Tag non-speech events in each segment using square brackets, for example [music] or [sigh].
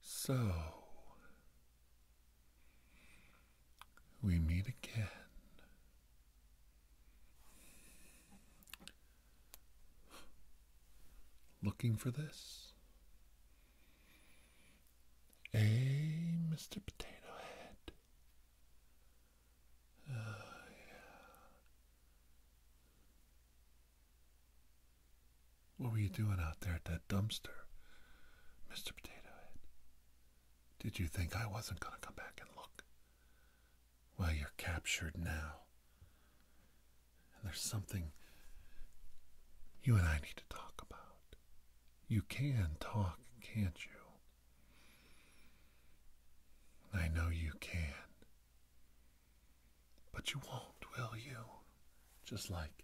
So we meet again. Looking for this? Hey, Mr. Potato Head. Oh, yeah. What were you doing out there at that dumpster, Mr. Potato Head? Did you think I wasn't going to come back and look? Well, you're captured now. And there's something you and I need to talk about. You can talk, can't you? I know you can. But you won't, will you? Just like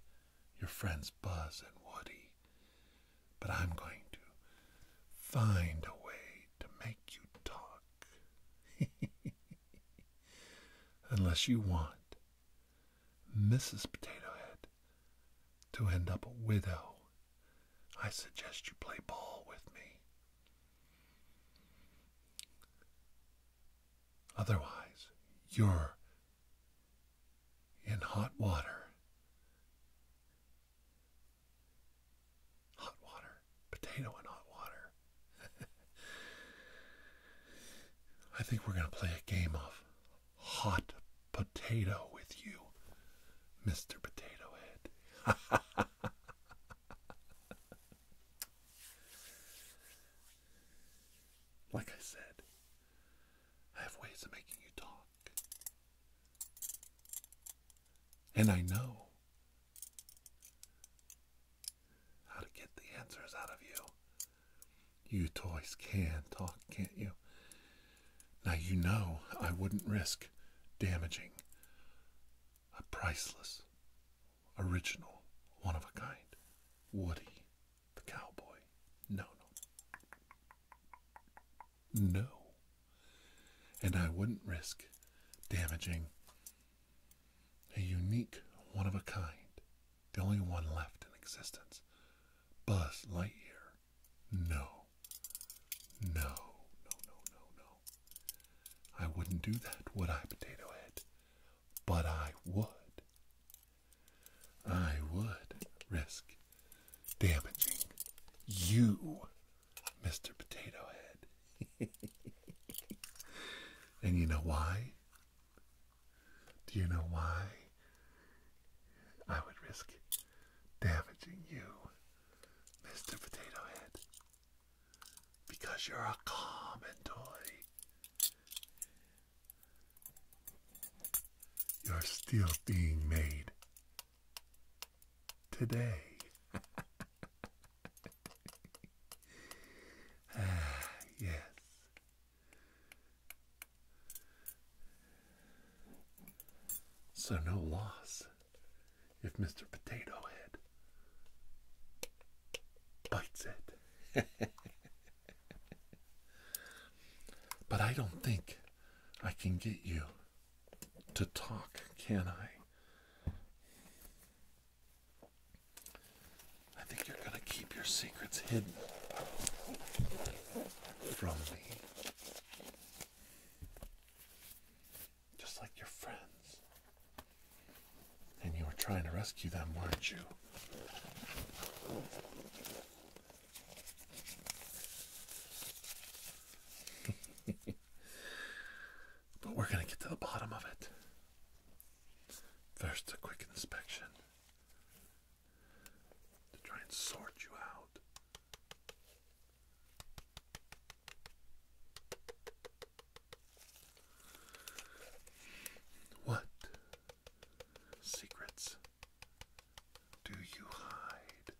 your friends Buzz and Woody. But I'm going to find a way to make you talk. [laughs] Unless you want Mrs. Potato Head to end up a widow, I suggest you play ball with me. Otherwise, you're in hot water. Hot water. Potato in hot water. [laughs] I think we're going to play a game of hot potato with you, Mr. Potato Head. [laughs] Like I said, I have ways of making you talk. And I know how to get the answers out of you. You toys can talk, can't you? Now you know I wouldn't risk damaging a priceless original, one of a kind. Woody the cowboy. No, no. No. And I wouldn't risk damaging a unique, one of a kind, the only one left in existence. Buzz Lightyear. No. No, no, no, no, no. I wouldn't do that, would I, Potato Head? But I would. I would risk damaging you, Mr. Potato Head. [laughs] and you know why? Do you know why I would risk damaging you, Mr. Potato Head? because you're a common toy. You're still being made today. [laughs] ah, yes. So, no loss if Mr. Potato Head bites it. [laughs] but I don't think I can get you to talk, can I? I think you're going to keep your secrets hidden from me just like your friends. And you were trying to rescue them, weren't you? [laughs] but we're going to get to the bottom of it. First, a quick inspection to try and sort you out. What secrets do you hide?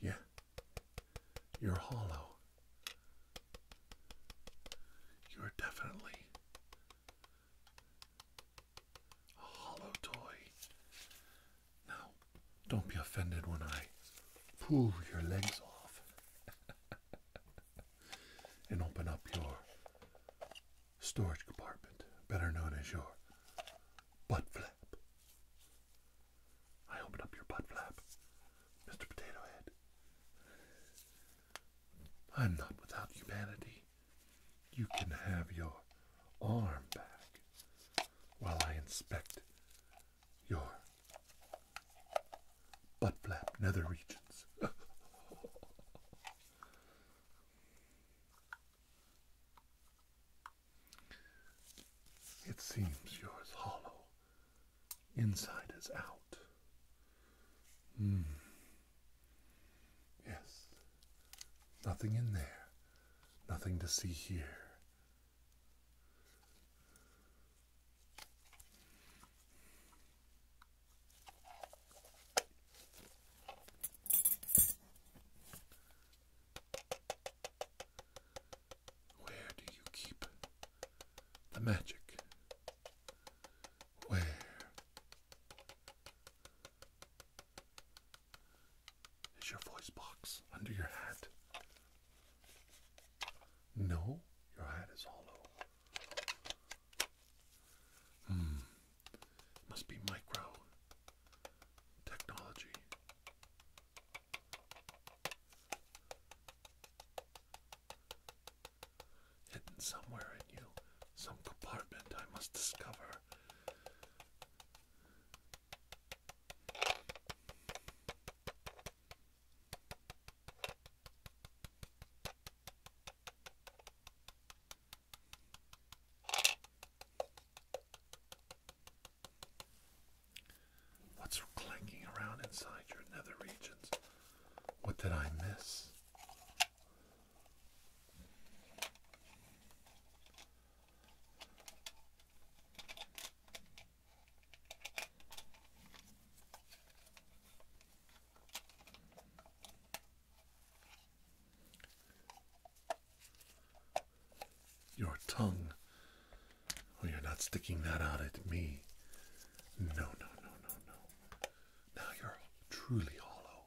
Yeah, you're hollow. You're definitely a hollow toy. Now, don't be offended when I pull your legs off [laughs] and open up your storage compartment, better known as your butt flap. I open up your butt flap, Mr. Potato Head. I'm not without humanity you can have your arm back while I inspect your butt flap nether regions. [laughs] it seems yours hollow, inside is out. Mm. Yes, Nothing in there. Nothing to see here. Where do you keep the magic? Where is your voice box under your hat? No, your hat is hollow. Hmm, must be micro technology hidden somewhere in you, some compartment I must discover. What's clanking around inside your nether regions? What did I miss? Your tongue. Oh, you're not sticking that out at me. No, no, no, no, no. Now you're truly hollow.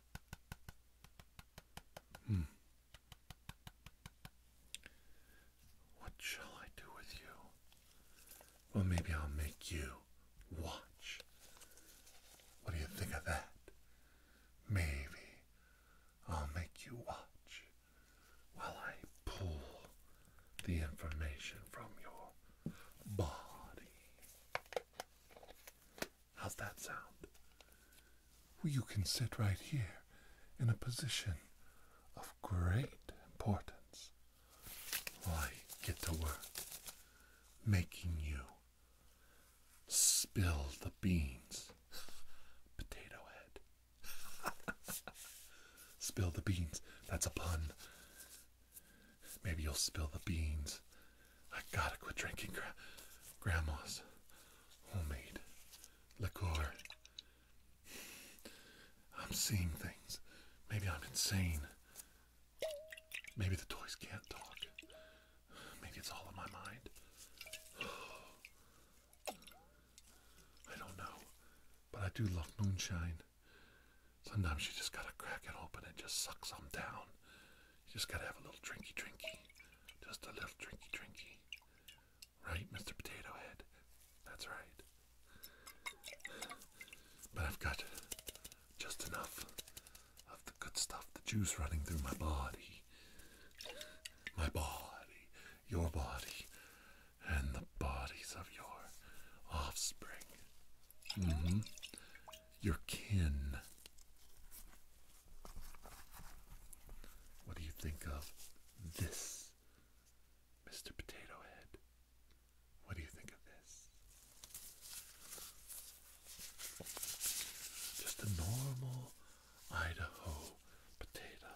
Hmm. What shall I do with you? Well, maybe I'll make you watch. What do you think of that? Maybe I'll make you watch while I pull the information from your body. How's that sound? Well, You can sit right here in a position of great importance while I get to work making you spill the beans, [laughs] potato head. [laughs] spill the beans. That's a pun. Maybe you'll spill the beans I gotta quit drinking grandma's homemade liqueur. I'm seeing things. Maybe I'm insane. Maybe the toys can't talk. Maybe it's all in my mind. [sighs] I don't know. But I do love moonshine. Sometimes you just gotta crack it open and just suck some down. You just gotta have a little drinky drinky. Just a little drinky drinky. Right, Mr. Potato Head? That's right. But I've got just enough of the good stuff, the juice running through my body. My body, your body, and the bodies of your offspring. Mm hmm your kin. What do you think of this, Mr. Potato Head? What do you think of this? Just a normal Idaho potato.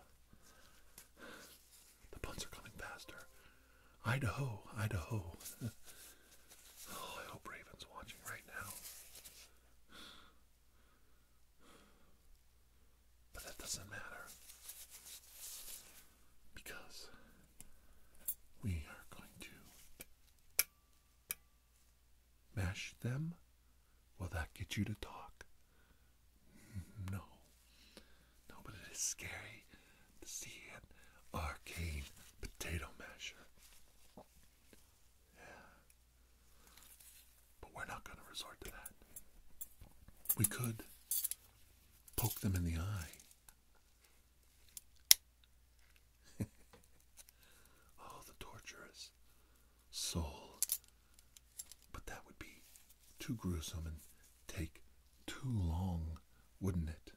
The puns are coming faster. Idaho, Idaho. [laughs] Oh, I hope Raven's watching right now. But that doesn't matter. Because we are going to mash them. Will that get you to talk? Mm, no. No, but it is scary to see an arcane potato masher. Yeah. But we're not going to resort to that. We could poke them in the eye. [laughs] oh, the torturous soul. But that would be too gruesome and take too long, wouldn't it?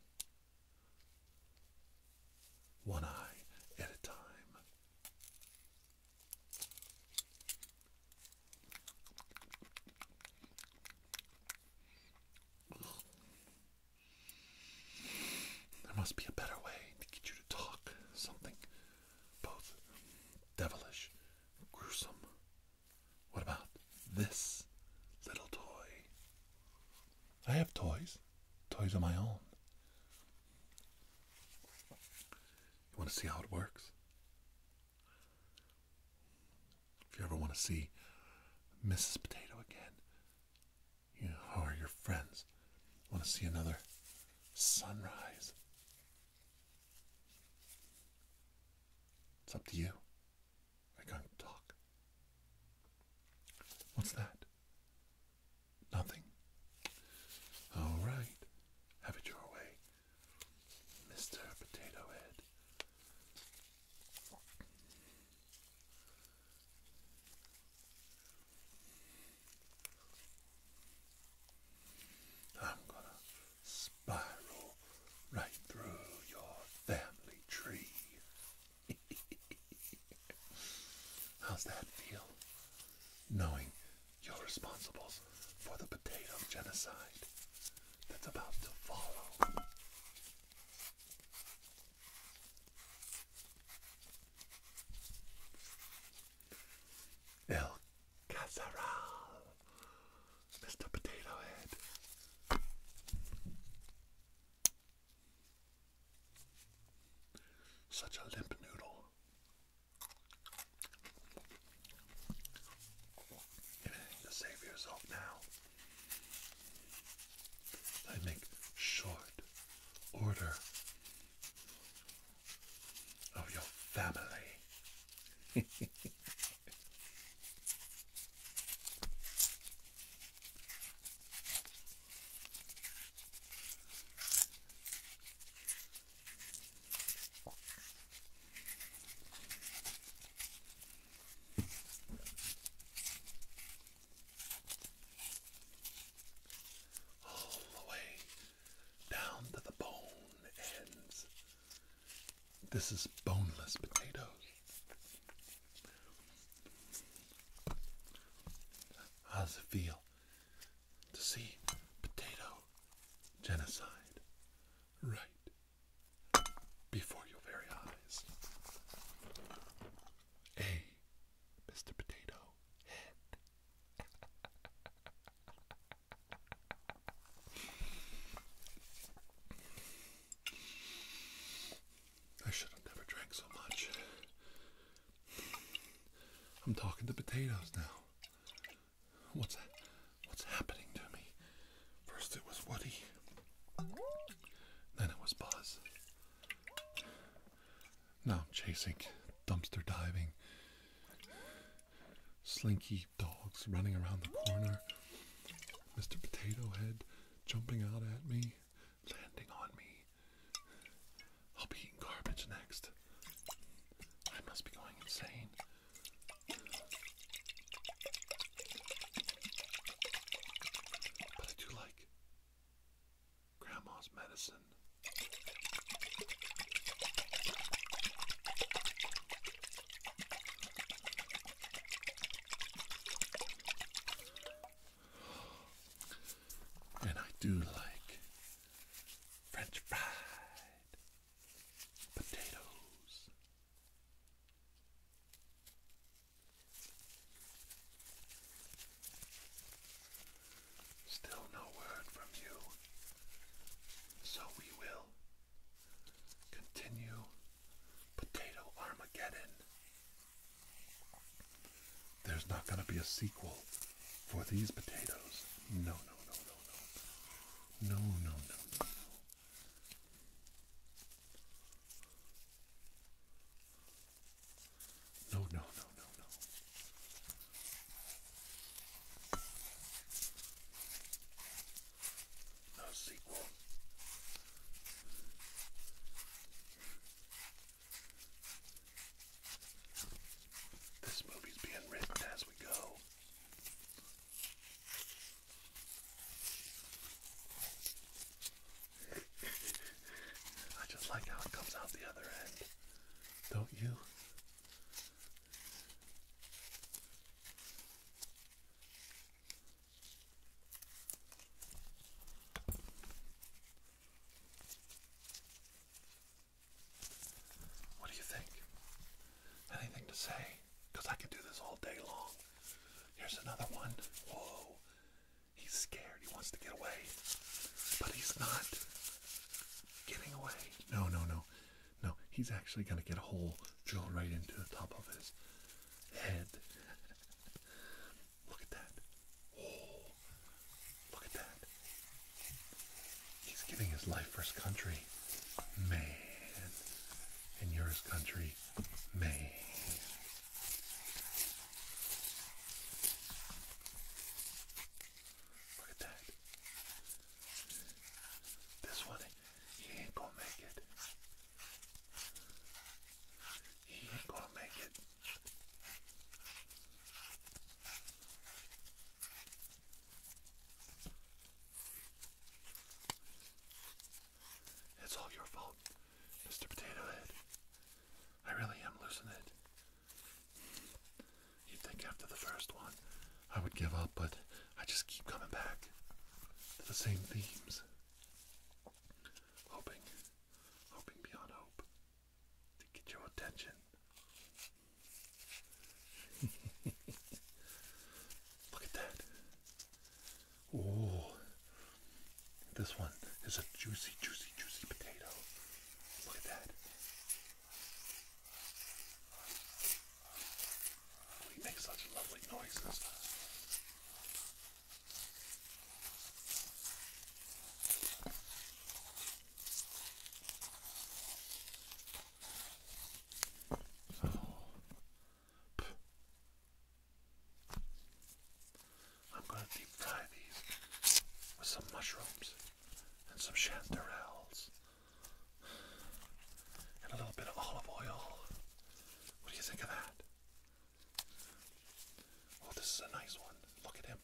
one eye at a time. There must be a better way to get you to talk something both devilish gruesome. What about this little toy? I have toys, toys of my own. You want to see how it works? If you ever want to see Mrs. Potato again, you or your friends want to see another sunrise, it's up to you. I can't talk. What's that? Nothing. All right. Have it your way, Mr. Potato Head. I'm going to spiral right through your family tree. How's that feel? Knowing you're responsible for the potato genocide that's about to follow. El Cazaral, Mr. Potato Head. Such a limp noodle. You need to now. I make short order of your family. [laughs] All the way down to the bone ends. This is boneless potatoes. How does it feel to see potato genocide right before your very eyes? Hey, Mr. Potato Head. I should have never drank so much. I'm talking to potatoes now. What's that? what's happening to me? First it was Woody, then it was Buzz. Now I'm chasing, dumpster diving, slinky dogs running around the corner, Mr. Potato Head jumping out at me, landing on me. I'll be eating garbage next. I must be going insane. But I do like Grandma's medicine. And I do like French fried potatoes. Still no word from you, so we will continue Potato Armageddon there's not going to be a sequel for these potatoes. No, no, no, no, no. No, no, no, no. No, no, no, no, no. No sequel. This movie's being written as we go. I just like how it comes out the other end, don't you? What do you think? Anything to say? Because I could do this all day long. Here's another one. Whoa. He's scared. He wants to get away. But he's not getting away. No, no, no. No, he's actually going to get a whole drill right into the top of his head. Look at that. Oh, look at that. He's giving his life for his country. Man. And yours, country. Man. Look at that. This one, he ain't gonna make it. You're going to make it. It's all your fault, Mr. Potato Head. I really am losing it. You'd think after the first one I would give up, but I just keep coming back to the same themes hoping, hoping beyond hope to get your attention. [laughs] Look at that. Oh, this one is a juicy, juicy, juicy potato. Look at that. We make such lovely noises. I'm going to deep fry these with some mushrooms and some chanterelles and a little bit of olive oil. What do you think of that? Oh, this is a nice one. Look at him.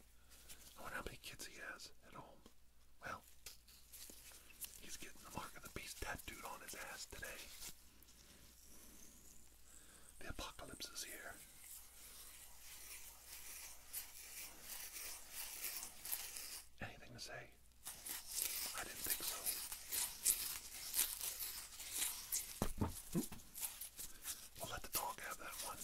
I wonder how many kids he has at home. Well, he's getting the mark of the beast tattooed on his ass today. The apocalypse is here. Anything to say? I didn't think so. We'll let the dog have that one. [laughs]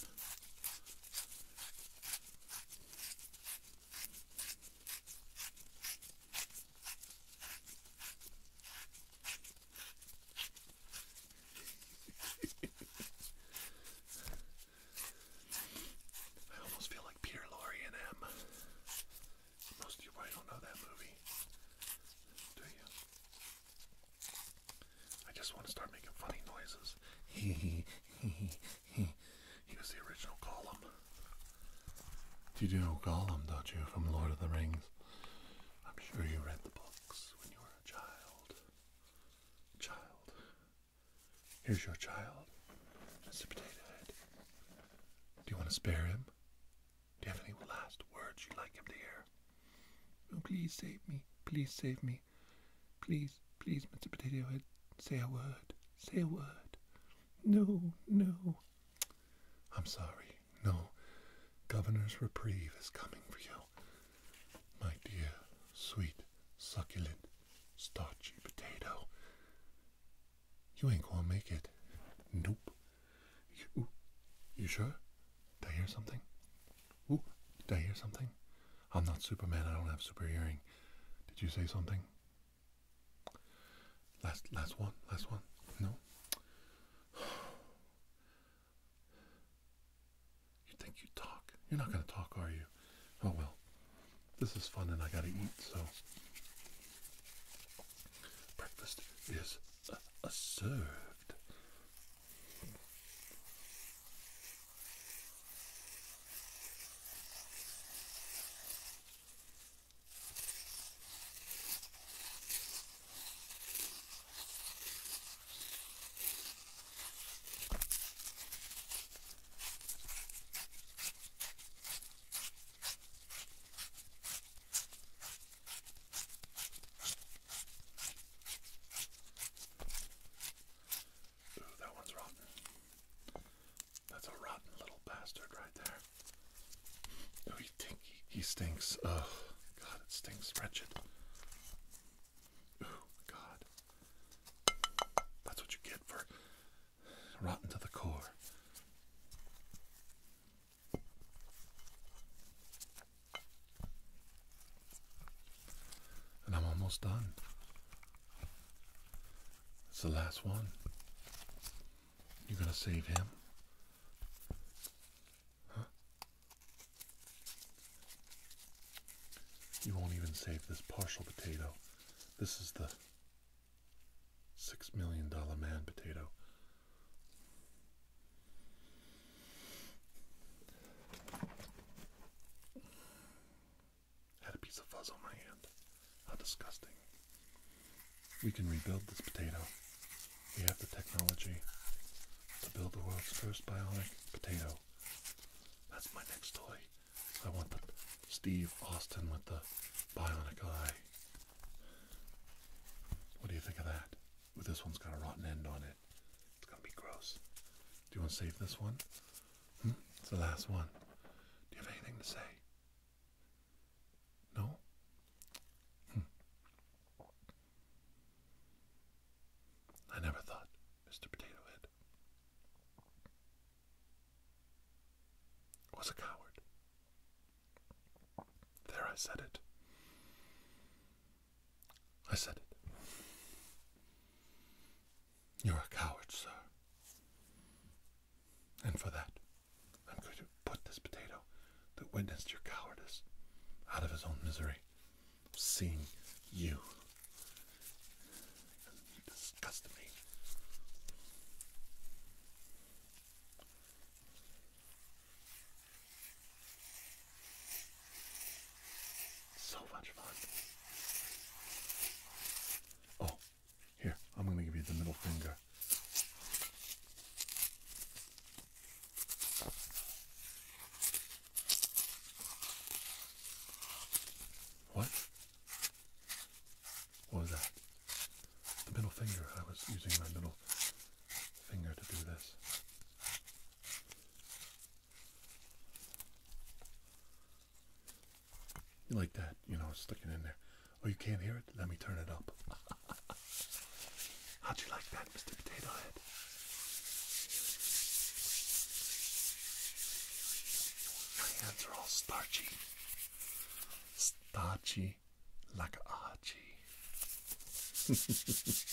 I almost feel like Peter Lorre and M. Most of you probably don't know that movie, do you? I just want to start making funny noises. [laughs] Here's the original Gollum. You do know Gollum, don't you, from Lord of the Rings? I'm sure you read the books when you were a child. Child. Here's your child, Mr. Potato Head. Do you want to spare him? Do you last words you'd like him to hear? Oh, please save me. Please save me. Please, please, Mr. Potato Head, say a word. Say a word. No, no. I'm sorry. No. Governor's reprieve is coming for you. My dear, sweet, succulent, starchy potato. You ain't gonna make it. Nope. You, you sure? Did I hear something? Ooh, did I hear something? I'm not Superman. I don't have super hearing. Did you say something? Last, last one, last one. No. [sighs] You think you talk? You're not gonna talk, are you? Oh well. This is fun, and I gotta eat, so breakfast is uh, served that one's rotten. That's a rotten little bastard right there. Oh, he, tink he stinks. Oh, God, it stinks wretched. Oh, God. That's what you get for rotten to the core. And I'm almost done. It's the last one. You're going to save him? Huh? You won't even save this partial potato. This is the six million dollar man potato. Had a piece of fuzz on my hand. How disgusting. We can rebuild this potato. We have the technology to build the world's first bionic potato. That's my next toy. I want the Steve Austin with the bionic eye. What do you think of that? this one's got a rotten end on it. It's gonna be gross. Do you want to save this one? Hmm? It's the last one. Do you have anything to say? No? Hmm. I never thought, Mr. Potato Head was a coward. There, I said it. I said it. You're a coward, sir. And for that, I'm going to put this potato that witnessed your cowardice out of his own misery, seeing you. You me. So much fun. Oh, here, I'm going to give you the middle finger. What? What was that? the middle finger. I was using my middle finger to do this. You like that, you know, sticking in there. Oh, you can't hear it? Let me turn it up. [laughs] How'd you like that, Mr. Potato Head? My hands are all starchy. Starchy me like a Archie. [laughs]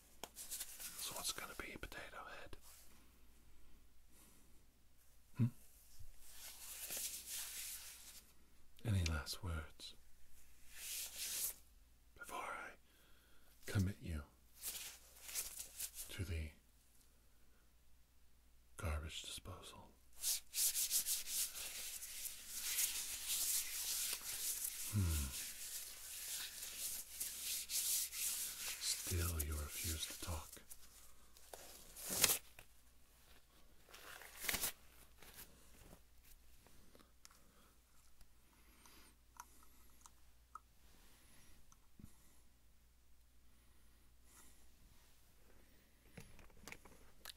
So it's going to be Potato Head. Hmm? Any last words before I commit you to the garbage disposal? Hmm. Still, you refuse to talk.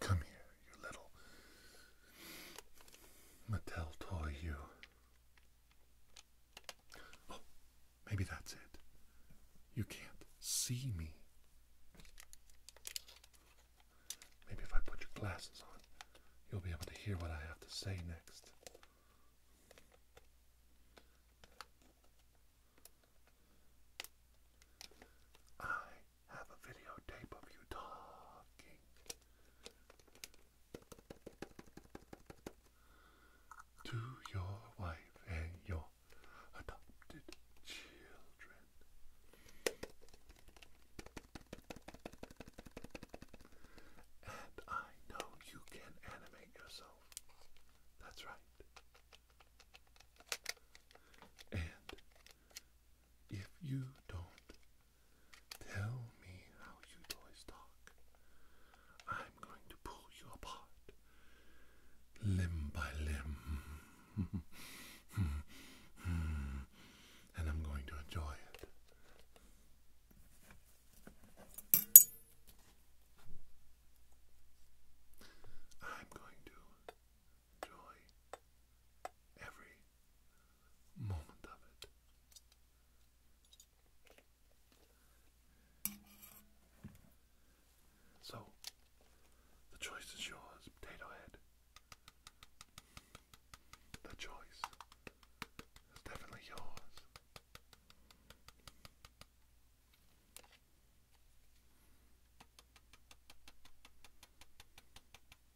Come here, you little Mattel toy, you. [gasps] maybe that's it. You can't see me. Maybe if I put your glasses on, you'll be able to hear what I have to say next. I have a videotape of you talking to your wife and your adopted children. And I know you can animate yourself. That's right. And if you don't Tell me how you toys talk. I'm going to pull you apart, limb by limb. and I'm going to enjoy it. I'm going to enjoy every moment of it. So, the choice is yours, Potato Head. The choice is definitely yours.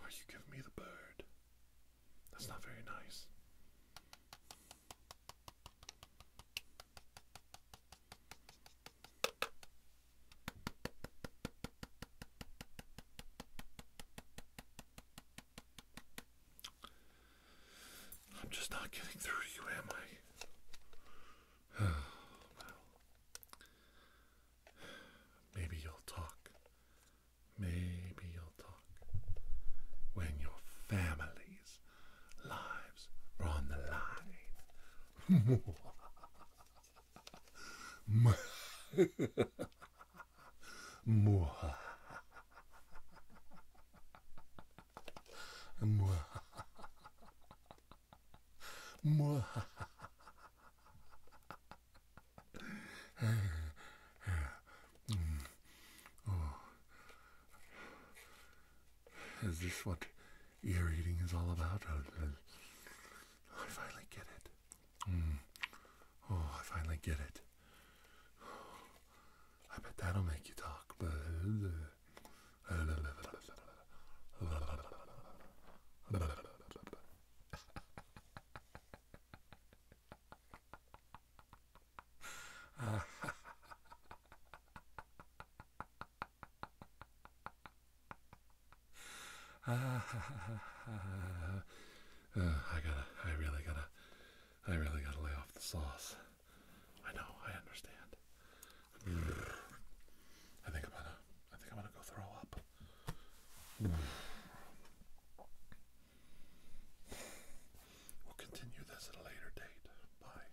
Oh, you give me the bird. That's not very nice. I'm just not getting through to you, am I? [sighs] maybe you'll talk. Maybe you'll talk when your family's lives are on the line. [laughs] [laughs] oh. Is this what ear eating is all about? I finally get it. Oh, I finally get it. I bet that'll make you talk. I gotta, I really gotta, I really gotta lay off the sauce. I know, I understand. I think I'm gonna, I think I'm gonna go throw up. We'll continue this at a later date. Bye.